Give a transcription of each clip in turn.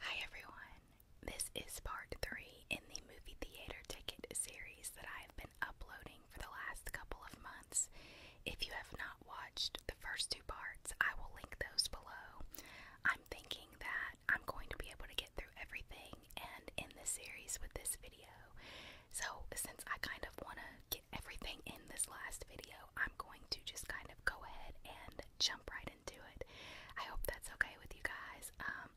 Hi everyone, this is part three in the movie theater ticket series that I have been uploading for the last couple of months. If you have not watched the first two parts, I will link those below. I'm thinking that I'm going to be able to get through everything and in this series with this video. So, since I kind of want to get everything in this last video, I'm going to just kind of go ahead and jump right in into it. I hope that's okay with you guys. Um,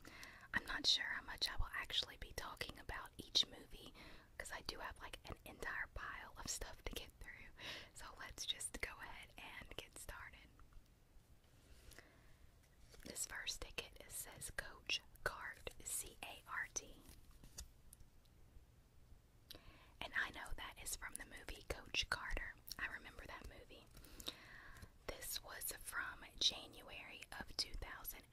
I'm not sure how much I will actually be talking about each movie because I do have like an entire pile of stuff to get through. So let's just go ahead and get started. This first ticket says Coach Card, C A R T and I know that is from the movie Coach Carter. I remember that movie. This was from January of 2005.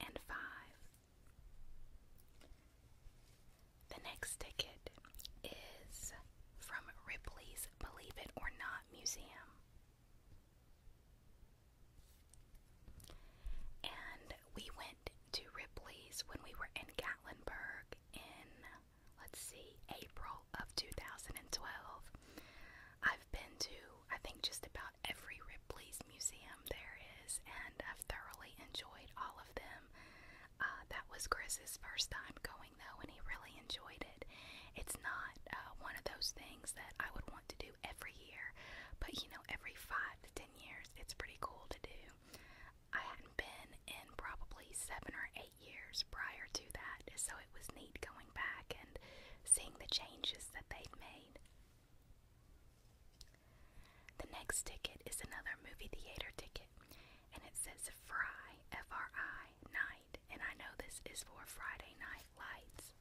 The next ticket is from Ripley's Believe It or Not Museum. And we went to Ripley's when we were in Gatlinburg in let's see, April of 2012. I've been to, I think, just about every Ripley's museum there is, and I've thoroughly enjoyed all of them. Uh, that was Chris's first time going, though, and he really enjoyed it. It's not uh, one of those things that I would want to do every year, but you know, every five to ten years, it's pretty cool to do. I hadn't been in probably seven or eight years prior to that, so it was neat going back and seeing the changes that they'd made. The next ticket is another movie theater ticket, and it says Fry, F R I, night, and I know this is for Friday Night Lights.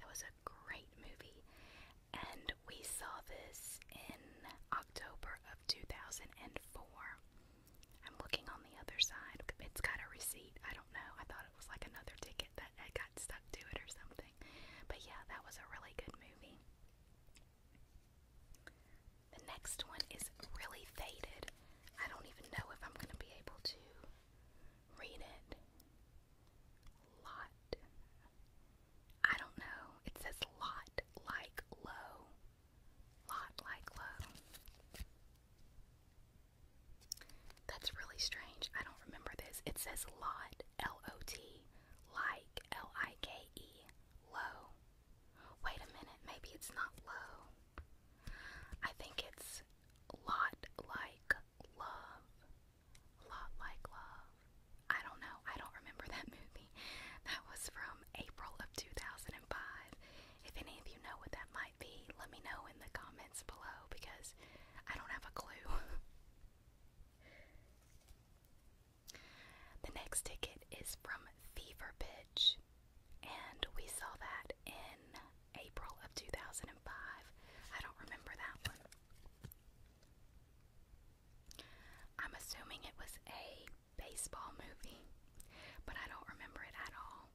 That was a great movie, and we saw this in October of 2004. I'm looking on the other side. It's got a receipt. I don't know. I thought it was like another ticket that I got stuck to it or something. But yeah, that was a really good movie. The next one is really faded. I don't even know if I'm going to be able to read it. Lot. I don't know. It says lot like low. Lot like low. That's really strange. I don't remember this. It says lot, L O T, like, L I K E, low. Wait a minute, maybe it's not low. I think it's lot like love. Lot like love. I don't know. I don't remember that movie. That was from April of 2005. If any of you know what that might be, let me know in the comments below because I don't have a clue. the next ticket is from Fever Pitch, and we saw that in April of 2005. I don't remember that one. I'm assuming it was a baseball movie, but I don't remember it at all.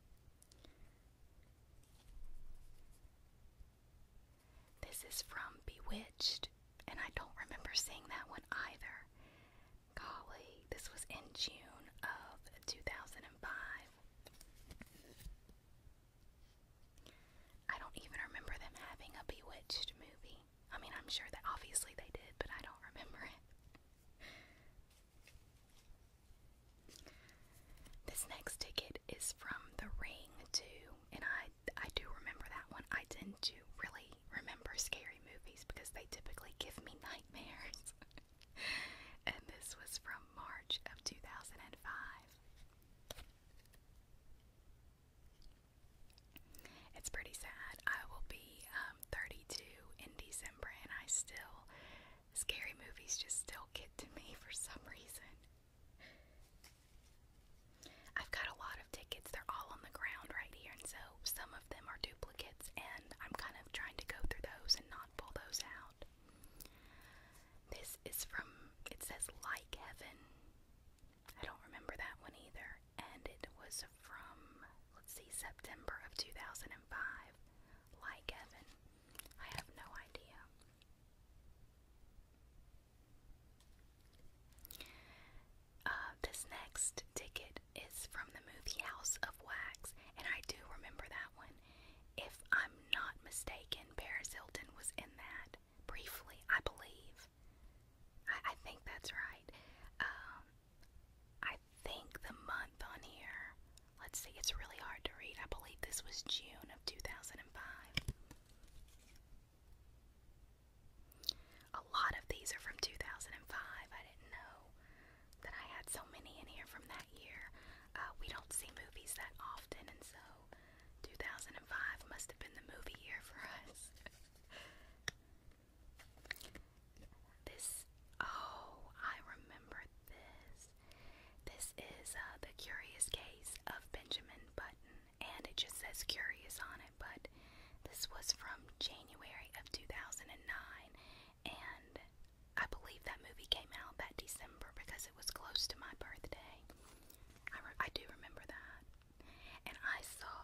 This is from Bewitched, and I don't remember seeing that one either. Golly, this was in June of 2005. I don't even remember them having a Bewitched movie. I mean, I'm sure that obviously they did, but I don't remember it. This next ticket is from The Ring too, and I I do remember that one. I tend to really remember scary movies because they typically give me nightmares. and this was from March of 2005. It's pretty sad. I will be um, 32 in December, and I still, scary movies just still get to me for some reason. I've got a lot of tickets. They're all on the ground right here, and so some of them are duplicates, and I'm kind of trying to go through those and not pull those out. This is from, it says Like Heaven. I don't remember that one either. And it was from, let's see, September of 2005. Like Evan. I have no idea. Uh, this next ticket is from the movie House of Wax, and I do remember that one. If I'm not mistaken, Paris Hilton was in that briefly, I believe. I, I think that's right. Um, I think the month on here, let's see, it's really hard to read. I believe this was June of 2005. A lot of these are from 2005. I didn't know that I had so many in here from that year. Uh, we don't see movies that often, and so 2005 must have been the movie year for us. this, oh, I remember this. This is uh, The Curious Case of Benjamin Button, and it just says Curious on it, but this was from January of 2009, and I believe that movie came out that December because it was close to my birthday. I, I do remember that. And I saw,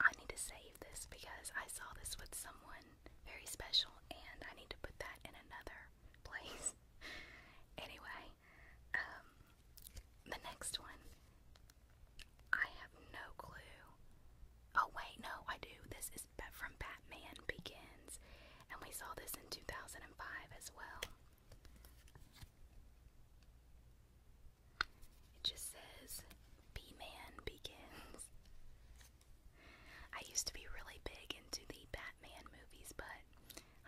I need to save this because I saw this with someone very special and I need to put that in another place. anyway, um, the next one, I have no clue. Oh, wait, no, I do. This is from Batman Begins, and we saw this in 2005 as well. It just says B Begins. I used to be really big into the Batman movies, but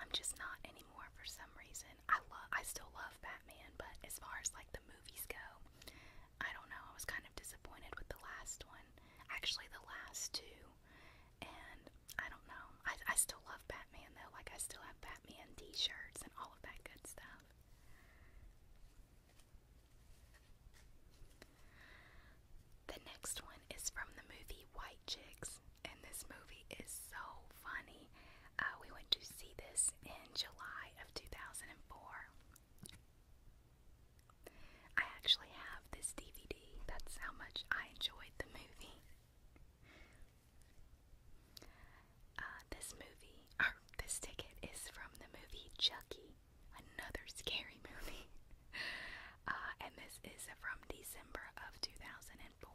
I'm just not anymore for some reason. I love I still love Batman, but as far as like the movies go, I don't know. I was kind of disappointed with the last one. Actually the last two. And I don't know. I, I still love Batman though. Like I still have Batman T-shirts and all of that good stuff. The next one is from the movie White Chicks, and this movie is so funny. Uh, we went to see this in July of 2004. I actually have this DVD. That's how much I enjoyed the movie. Uh, this movie, this ticket, is from the movie Chucky, another scary movie. Uh, and this is from December of 2004.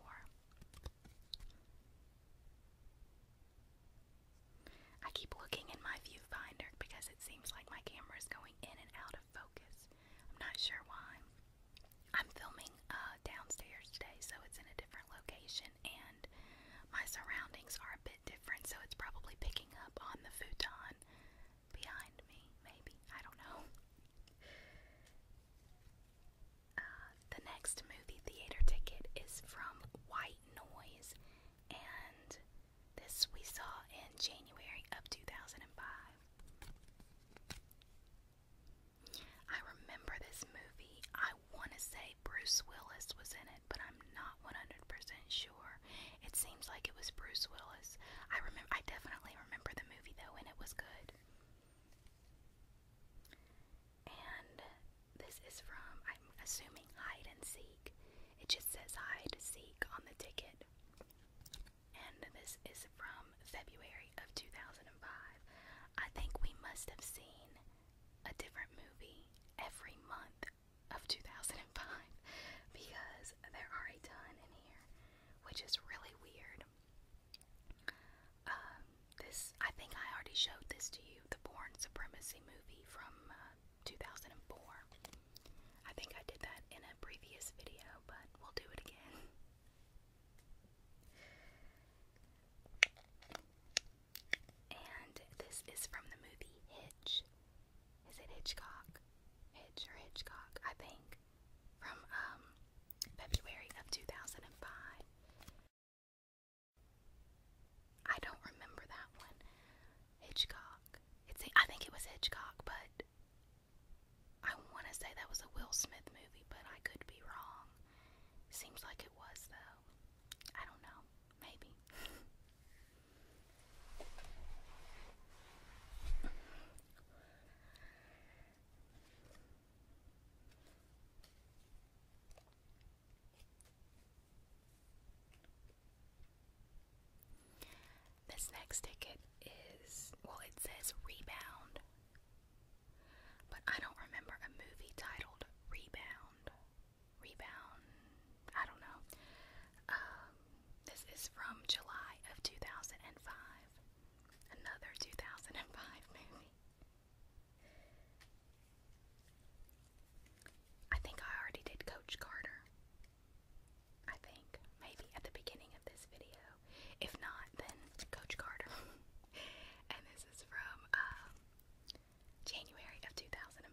I keep looking in my viewfinder because it seems like my camera is going in and out of focus. I'm not sure why. I'm filming uh, downstairs today, so it's in a different location, and my surroundings are a bit different, so it's probably picking up on the futon behind me, maybe. I don't know. Uh, the next movie theater ticket is from White Noise, and this we saw in January of 2005. I remember this movie. I want to say Bruce Willis was in it, but I'm not 100% sure. It seems like it was Bruce Willis. I remember I definitely remember the movie though and it was good. And this is from I'm assuming hide and seek. It just says hide seek on the ticket and this is from February of 2005. I think we must have seen a different movie every month of 2005 because there are a ton in here, which is really weird. Um, this I think I already showed this to you, the Born Supremacy movie from uh, 2004. I think I did that in a previous video, but we'll do it again. And this is from the movie Hitch. Is it Hitchcock? Hitch or Hitchcock, I think. From um, February of 2005. I don't remember that one. Hitchcock. It's, a. I think it was Hitchcock, but I want to say that was a Will Smith movie, but I could be wrong. Seems like it was, though. I don't know. Maybe. This next ticket is, well, it says Rebound, but I don't remember a movie titled Rebound. Rebound, I don't know. Um, this is from July of 2005, another 2005 movie. I think I already did Coach Carter. I think, maybe at the beginning of this video. If not, then Coach Carter. and this is from um, January of 2005.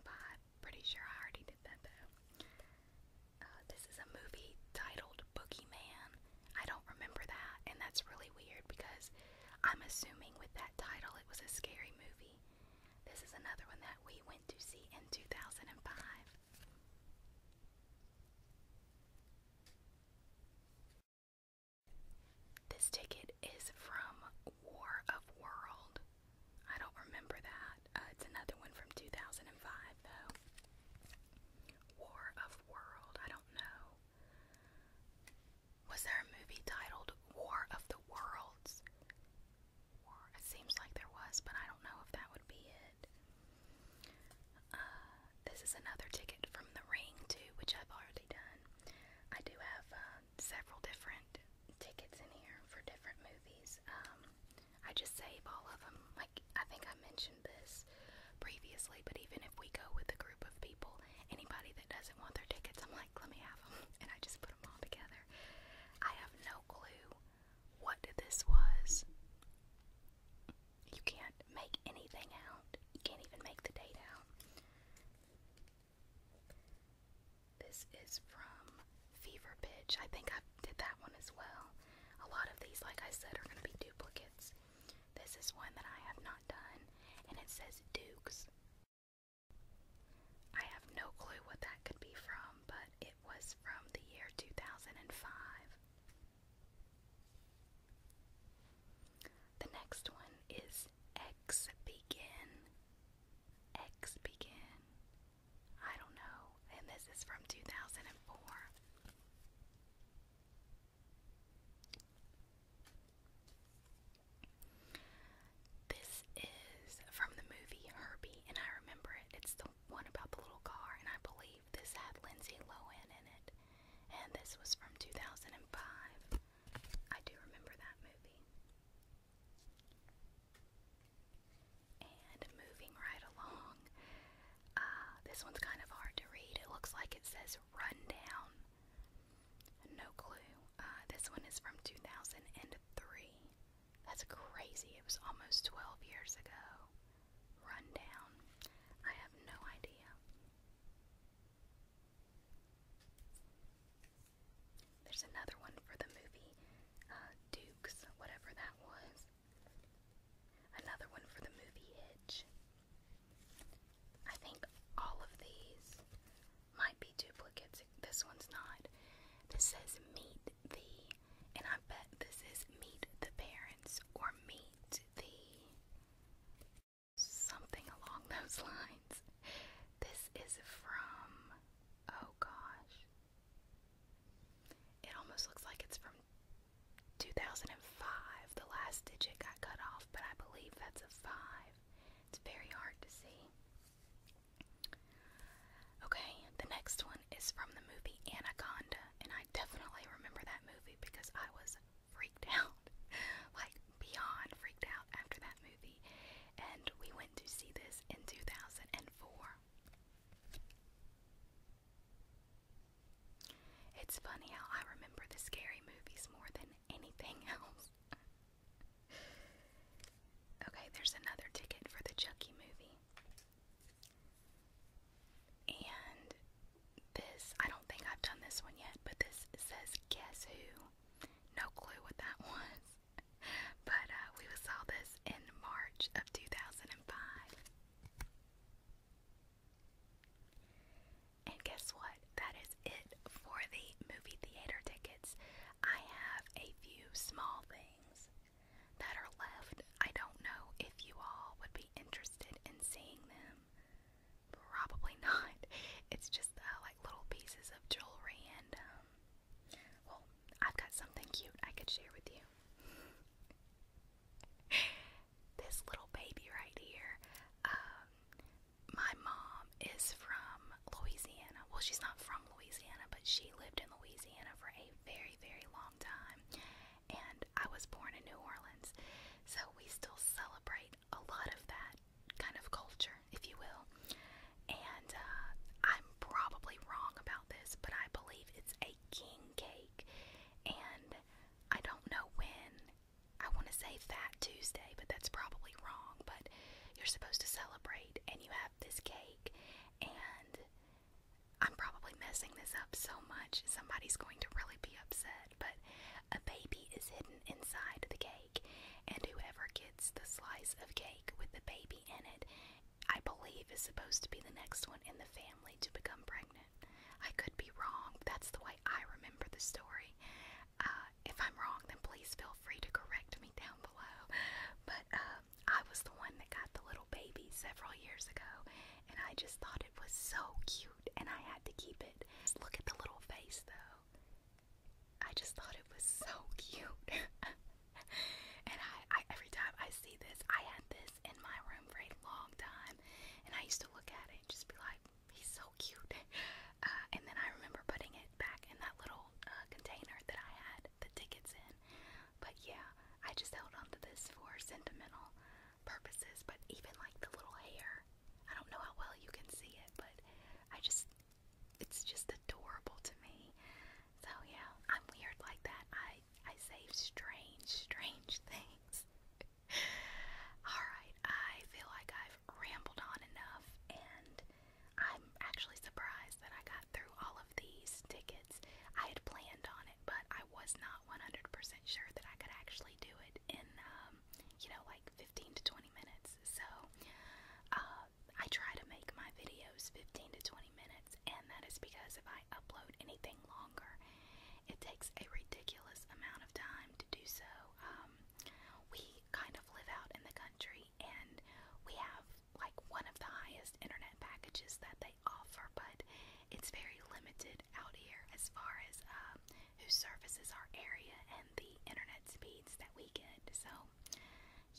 Pretty sure I already did that though. Uh, this is a movie titled Boogeyman. I don't remember that, and that's really weird because I'm assuming with that title it was a scary movie. This is another one that we went to see in 2005. This ticket is from War of World. I don't remember that. Uh, it's another one from 2005, though. War of World. I don't know. Was there a movie titled War of the Worlds? It seems like there was, but I don't know if that would be it. Uh, this is another ticket from The Ring, too, which I've already done. I do have uh, several different tickets in here for different movies. Um, I just save all of them. Like, I think I mentioned this previously, but even if we go with a group of people, anybody that doesn't want their tickets, I'm like, let me have them. And I just put them all together. I have no clue what this was. You can't make anything out. You can't even make the date out. This is from Fever Bitch. I think I did that one as well. A lot of these, like I said, are going to be duplicates. This is one that I have not done, and it says Dukes. I have no clue what that could be from, but it was from the year 2005. The next one is X Begin. X Begin. I don't know. And this is from 2004. This is from the movie Herbie, and I remember it. It's the one about the little car, and I believe this had Lindsay Lohan in it, and this was from 2005. I do remember that movie. And moving right along, uh, this one's kind of hard to read. It looks like it says Rundown. No clue. Uh, this one is from 2003. That's crazy. It was almost 12 years ago. Rundown. I have no idea. There's another one for the movie uh, Dukes, whatever that was. Another one for the movie Hitch. I think all of these might be duplicates. This one's not. This says meat thee, and I bet this is meet the parents or meet the Something along those lines. This is from, oh gosh, it almost looks like it's from 2005. The last digit got cut off, but I believe that's a 5. It's very hard to see. Okay, the next one is from the movie Anaconda, and I definitely remember that movie because I was freaked out, like beyond freaked out after that movie. And we went to see this in 2004. It's funny how I remember the scary movies more than anything else. okay, there's another ticket for the Chucky movie. And this, I don't think I've done this one yet, but this says Guess Who? No clue what that was. But uh, we saw this in March of 2005. And guess what? That is it for the movie theater tickets. I have a few small things that are left. I don't know if you all would be interested in seeing them. Probably not. It's just uh, like little pieces of jewelry, and um, well, I've got something cute I could share with you. this little baby right here. Um, my mom is from Louisiana. Well, she's not from Louisiana, but she lived in Louisiana for a very very, long time. And I was born in New Orleans. So we still celebrate a lot of that kind of culture, if you will. And uh, I'm probably wrong about this, but I believe it's a king cake. And I don't know when. I want to say Fat Tuesday, but that's probably wrong. But you're supposed to celebrate, and you have this cake, and I'm probably messing this up so much, somebody's going to really be upset. But a baby is hidden inside the cake, and whoever gets the slice of cake with the baby in it, I believe, is supposed to be the next one in the family to become pregnant. I could be wrong, that's the way I remember the story. Uh, if I'm wrong, then please feel free to correct me down below. But um, I was the one that got the little baby several years ago, and I just thought it was so cute, and I had to keep it. Just look at the little face, though. I just thought it was so cute. and I, I, every time I see this, I had this in my room for a long time, and I used to look at it and just be like, "He's so cute." Uh, and then I remember putting it back in that little uh, container that I had the tickets in. But yeah, I just held on to this for sentimental purposes. But even like the little hair, I don't know how well you can see it, but I just, it's just adorable to me. So yeah, I'm weird like that. I, I save strange, strange things. Alright, I feel like I've rambled on enough, and I'm actually surprised that I got through all of these tickets. I had planned on it, but I was not 100% sure that I could actually do it in, um, you know, like 15 to 20 minutes. So uh, I try to make my videos 15 to 20 minutes, and that is because if I upload anything longer, it takes a ridiculous amount of time to do so. Um, we kind of live out in the country, and we have like one of the highest internet packages that they offer, but it's very limited out here as far as um, who services our area and the internet speeds that we get. So,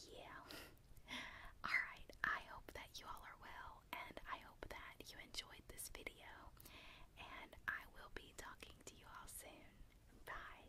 yeah. Alright, I hope that you all are well, and I hope that you enjoyed this video, and I will be talking to you all soon. Bye.